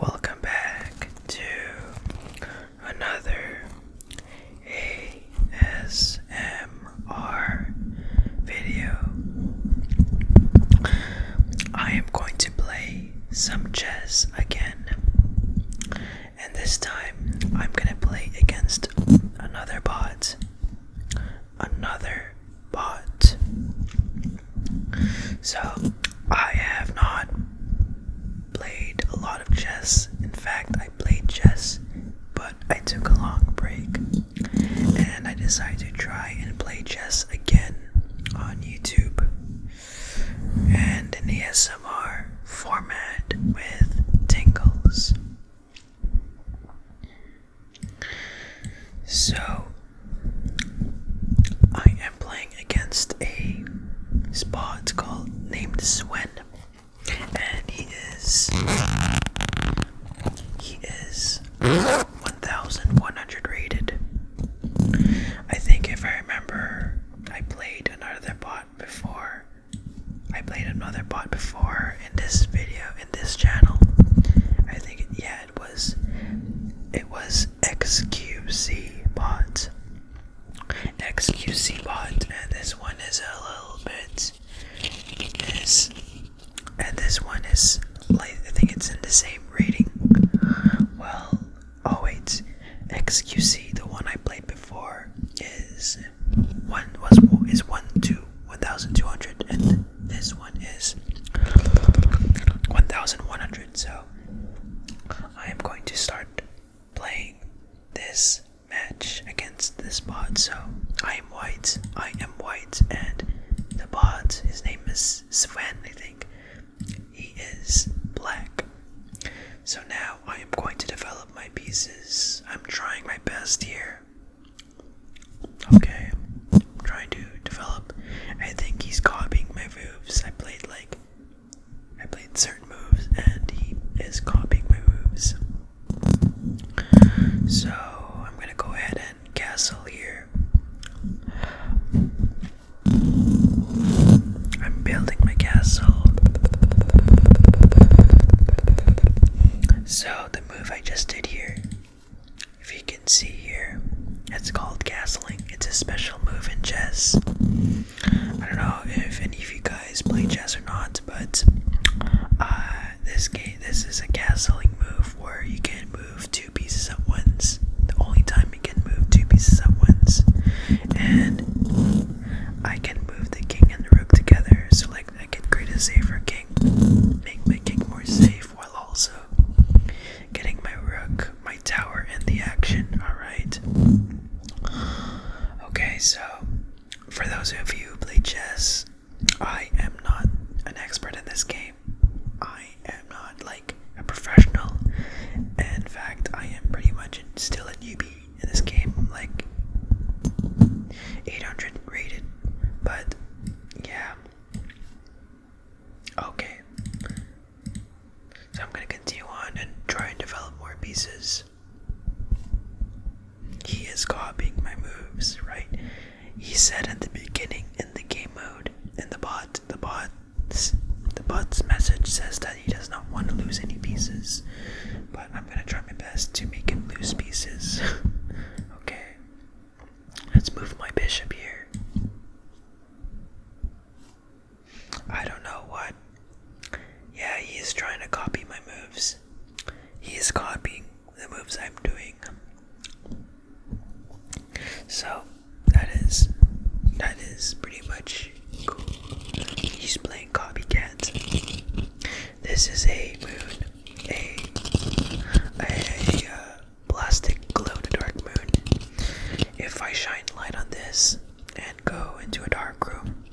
Welcome back to another ASMR video. I am going to play some chess again, and this time I'm gonna play against another bot another bot. So, I have not played a lot of chess. In fact, I played chess, but I took a long break and I decided to try and play chess again on YouTube and in the ASMR format with tingles. So, I am playing against a spot called named Swen, and he is he is 1,100 rated. I think if I remember, I played another bot before I played another bot before in this video in this channel. I think it, yeah, it was it was XQC bot. XQC bot, and this one is a little bit is, and this one is like I think it's in the same rating. Well, oh wait, XQC, the one I played before is one was is one two 1,200, and this one is 1,100. So I am going to start playing this match against this bot. So I am white, I am white, and the bot, his name is Sven, I think, he is black. So now I am going to develop my pieces. I'm trying my best here. Okay, I'm trying to develop. I think he's copying my moves. I played like I played certain moves, and he is copying my moves. So I'm gonna go ahead and castle here. I'm building my castle. So the move I just did here, if you can see here, it's called castling. It's a special move in chess. I don't know if any of you guys play chess or not, but uh, this game, this is a castling move where you can move two pieces at once. The only time you can move two pieces at once, and I can move the king and the rook together. So like. I get greater create a king, make my king more safe while also getting my rook, my tower and the action. Alright. Okay, so for those of you who play chess, I am not an expert in this game. I am not like a professional. In fact, I am pretty much still a newbie in this game. like 800 rated but yeah. Okay. So I'm gonna continue on and try and develop more pieces. He is copying my moves, right? He said at the beginning in the game mode, in the bot, the bots, the bot's message says that he does not want to lose any pieces. But I'm gonna try my best to make him lose pieces. Okay. Let's move my bishop here. I don't know what. Yeah, he is trying to copy my moves. He is copying the moves I'm doing. So, that is that is pretty much cool. He's playing copycat. This is a moon a a uh, plastic glow to dark moon. If I shine light on this and go into a dark room,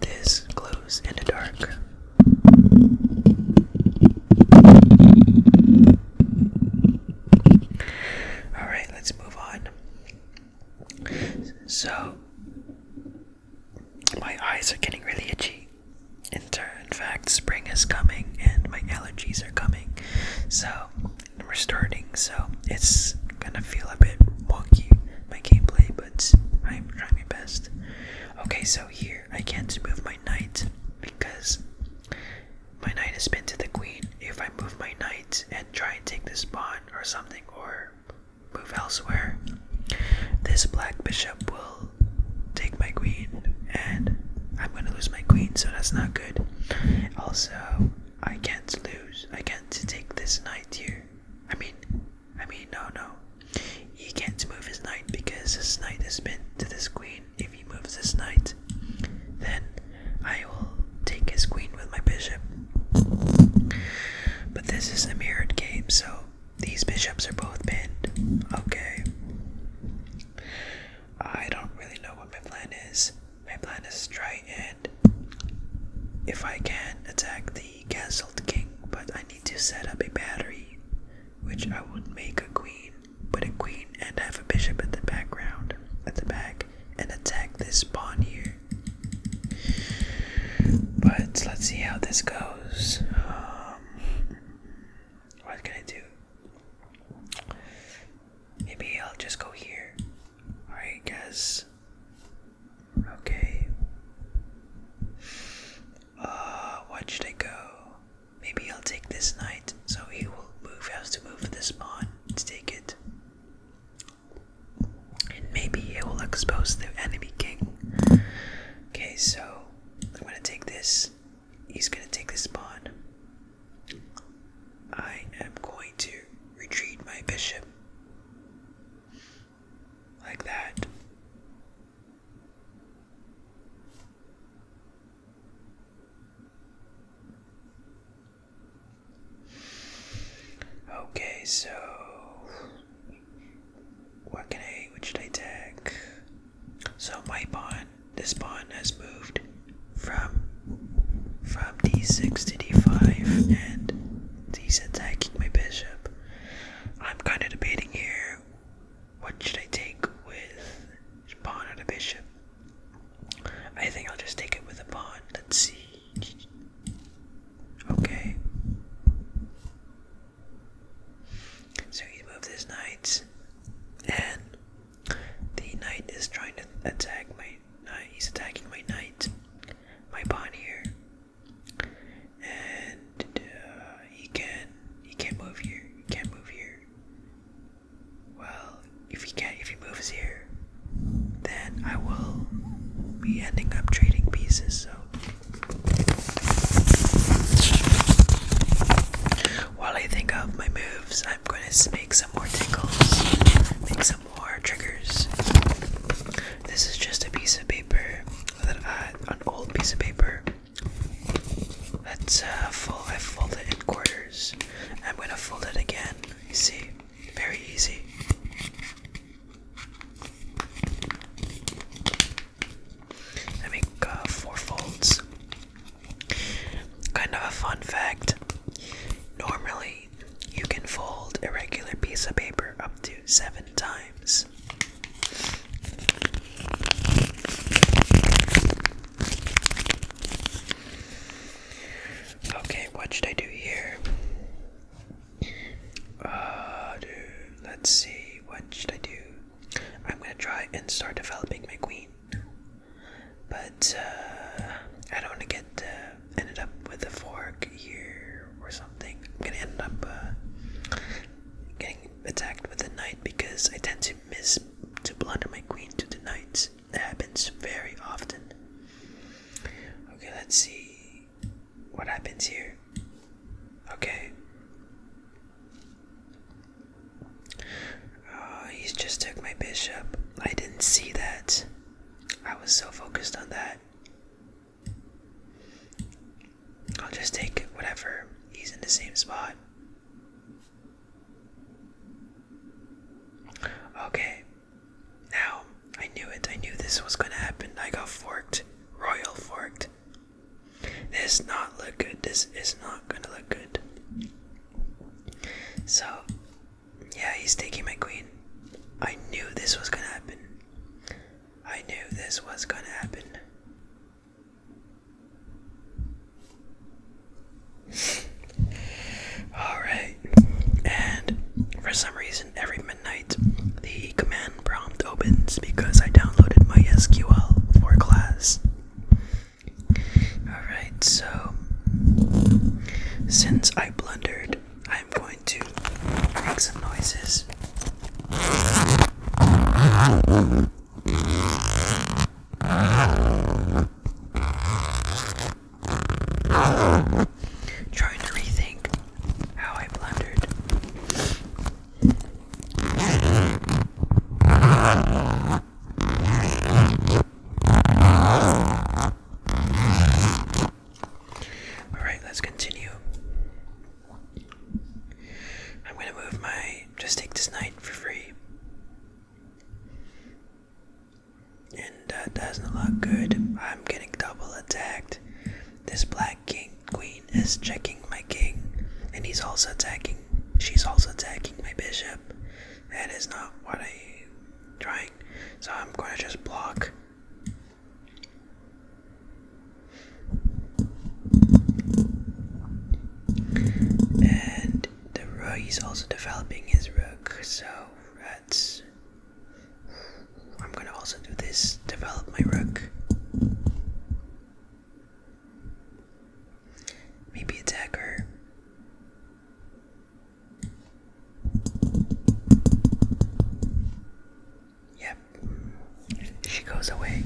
this glows in the dark. All right, let's move on. So, my eyes are getting really itchy. In, turn, in fact, spring is coming and my allergies are coming. So, we're starting, so it's gonna feel a bit wonky, my gameplay, but I'm trying my best. Okay, so here I can't move my knight because my knight has been to the queen. If I move my knight and try and take this pawn or something, or move elsewhere, this black bishop will take my queen, and I'm gonna lose my queen, so that's not good. Also, I can't lose. I can't take this knight here. I mean, I mean, no, no. He can't move his knight because his knight is bent to this queen. If he moves his knight, then I will take his queen with my bishop. But this is a mirrored game, so these bishops are both pinned. Okay. I don't really know what my plan is. My plan is to try and, if I can, attack the castled king, but I need to set up a battery, which I would make a queen, put a queen and have a bishop at the background, at the back, and attack this pawn here. But let's see how this goes. Um, um, what can I do? Maybe I'll just go here. Alright, guys. Okay. Uh, what should I go? Maybe I'll take this knight. So he will move, has to move this pawn to take it. And maybe it will expose the enemy king. Okay, so I'm gonna take this. He's gonna take this pawn. I am going to retreat my bishop. Like that. Okay, so Wagon A, which they take. So my pawn, this pawn has moved from from d6 to d5, and he's attacking my bishop. I'm kind of debating here. What should I take with pawn or the bishop? I think I'll just take it with a pawn. Let's see. Okay. So he moves his knight, and the knight is trying to attack my knight. He's attacking my knight, my pawn here, and uh, he can he can't move here. He can't move here. Well, if he can, not if he moves here, then I will be ending up trading pieces. So while I think of my moves, I'm going to make some more tinkles, make some more triggers. This is just a piece of paper that an old piece of paper that's uh, full. I fold it in quarters. I'm going to fold it again. You see, very easy. I make four folds. Kind of a fun fact. Normally, you can fold a regular piece of paper up to seven times. Okay, what should I do here? Uh, do Let's see, what should I do? I'm gonna try and start developing my queen. But uh, I don't want to get uh, ended up with a fork here or something. I'm gonna end up uh, getting attacked with a knight because I tend to miss to blunder my queen to the knight. It happens very often. Okay, let's see. What happens here? Okay. Uh, oh, he's just took my bishop. I didn't see that. I was so focused on that. I'll just take whatever. He's in the same spot. Okay. Now, I knew it. I knew this was gonna happen. I got forked. Royal forked. This not look good. This is not gonna look good. So, yeah, he's taking my queen. I knew this was gonna happen. I knew this was gonna happen. Alright, and for some reason, every midnight, the command prompt opens because I downloaded my SQL for class. Alright, so since I blundered, I'm going to make some noises. Trying to rethink how I blundered. All right, let's continue. I'm going to move my just take this knight for free. And that doesn't look good. I'm getting double attacked. This black king queen is checking my king, and he's also attacking. She's also attacking my bishop. That is not what I'm trying. So I'm going to just block. And the rook is also developing his rook, so that's. I'm gonna also do this develop my rook. Maybe attack her. Yep, she goes away.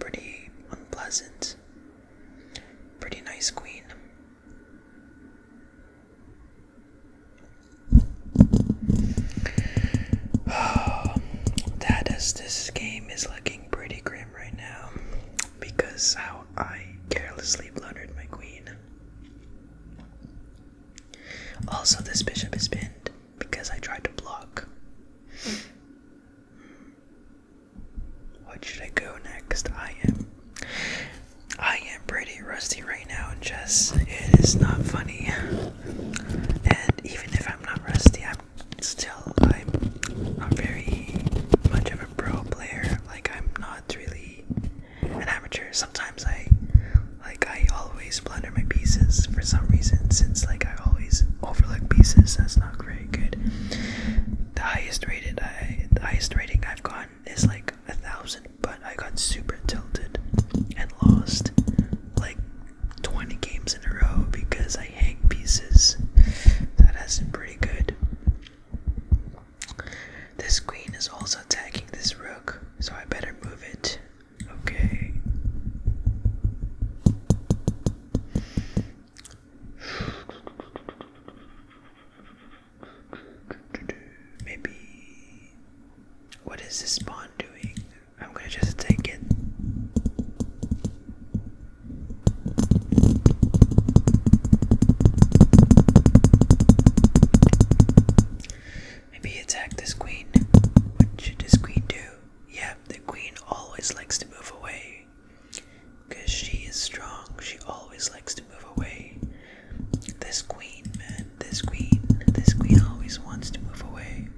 Pretty unpleasant. Pretty nice queen. Oh, that is this game is looking pretty grim right now because how I carelessly blundered my queen. Also, this bishop is pinned because I tried to block. What should I go next? I am. I am pretty rusty right now in chess. It is not funny and even if I'm not rusty, I'm still I'm not very much of a pro player. Like I'm not really an amateur. Sometimes I like I always blunder my pieces for some reason since like I always overlook pieces. That's not very good. The highest rated I the highest rating I've gotten is like a thousand, but I got super tilted and lost like 20 games in a row because I hang pieces. That has been pretty good. This queen is also attacking this rook, so I better move it. Okay. Maybe. What is this pawn doing? I'm gonna just take it. Maybe attack this queen. What should this queen do? Yeah, the queen always likes to move away. Because she is strong, she always likes to move away. This queen, man, this queen, this queen always wants to move away.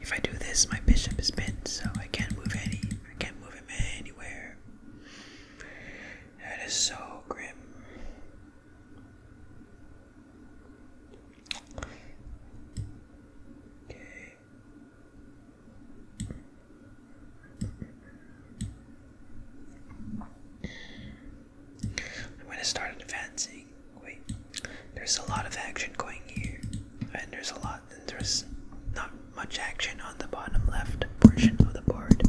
If I do this, my bishop is pinned, so I can't move any. I can't move him anywhere. That is so grim. Okay. I'm gonna start advancing. Wait, there's a lot of action going here, and there's a lot, and there's not much action on the bottom left portion of the board.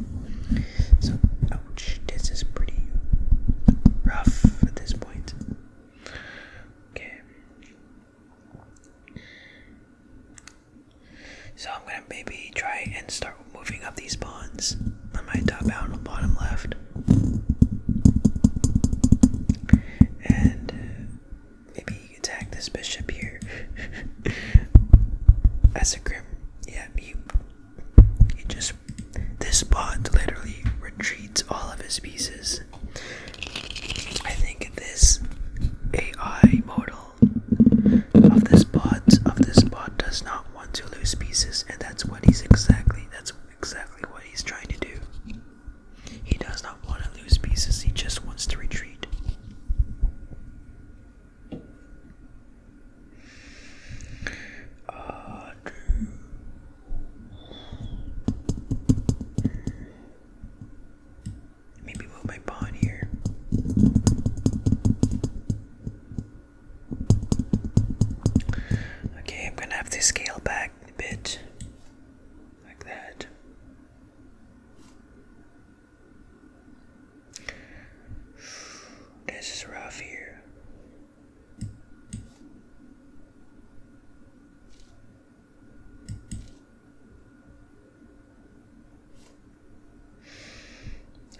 So, ouch, this is pretty rough at this point. Okay. So I'm gonna maybe try and start moving up these pawns on my top on the bottom left. And uh, maybe attack this bishop here. As a grim. Yeah, you just. This pawn literally retreats all of his pieces. I think this AI model of this bot of this bot does not want to lose pieces and that's what he's exactly that's exactly what he's trying to do. He does not want to lose pieces, he just wants to retreat. Uh, Maybe move my pawn here. Okay, I'm gonna have to scale back a bit. Like that. This is rough here.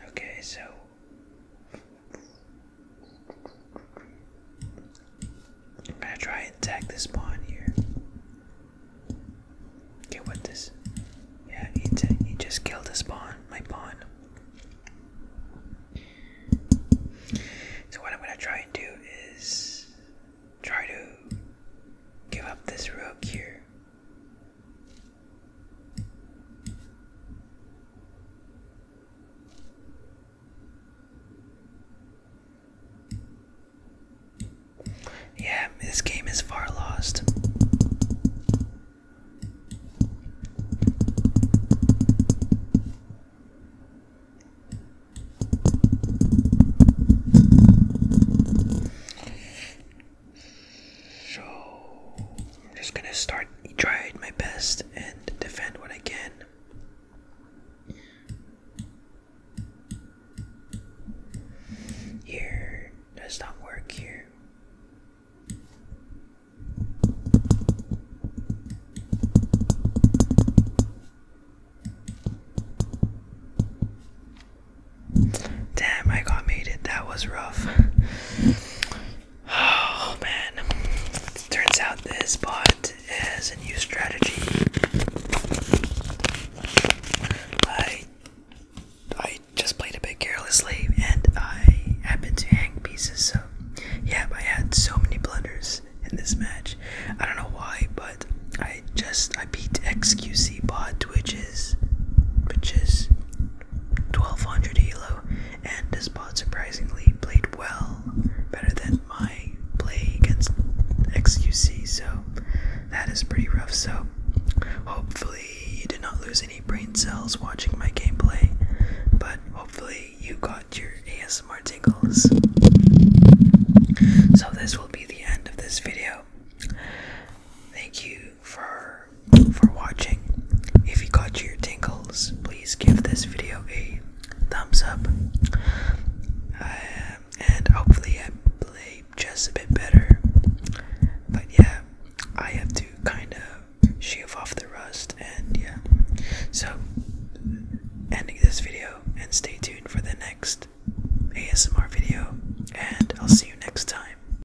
Okay, so I'm gonna try and attack this pawn here. Okay, what this? Yeah, he, he just killed his pawn, my pawn. So what I'm gonna try and do is try to give up this rook here. Yeah, this game is far lost. So I'm just gonna start try my best and defend what I can. Here does not work here. Damn, I got mated. That was rough. Oh man. Turns out this bot is a new strategy. I I just played a bit carelessly and I happened to hang pieces, so yeah, I had so many blunders in this match. I don't know why, but I just I beat XQC bot which is which is 1200 elo and this bot surprisingly played well better than my play against XQC so that is pretty rough so hopefully you did not lose any brain cells watching my gameplay but hopefully you got your ASMR tingles so this will be the end of this video thank you for for watching. If you got your tingles, please give this video a thumbs up. Um, and hopefully I play just a bit better. But yeah, I have to kind of shave off the rust and yeah. So ending this video and stay tuned for the next ASMR video and I'll see you next time.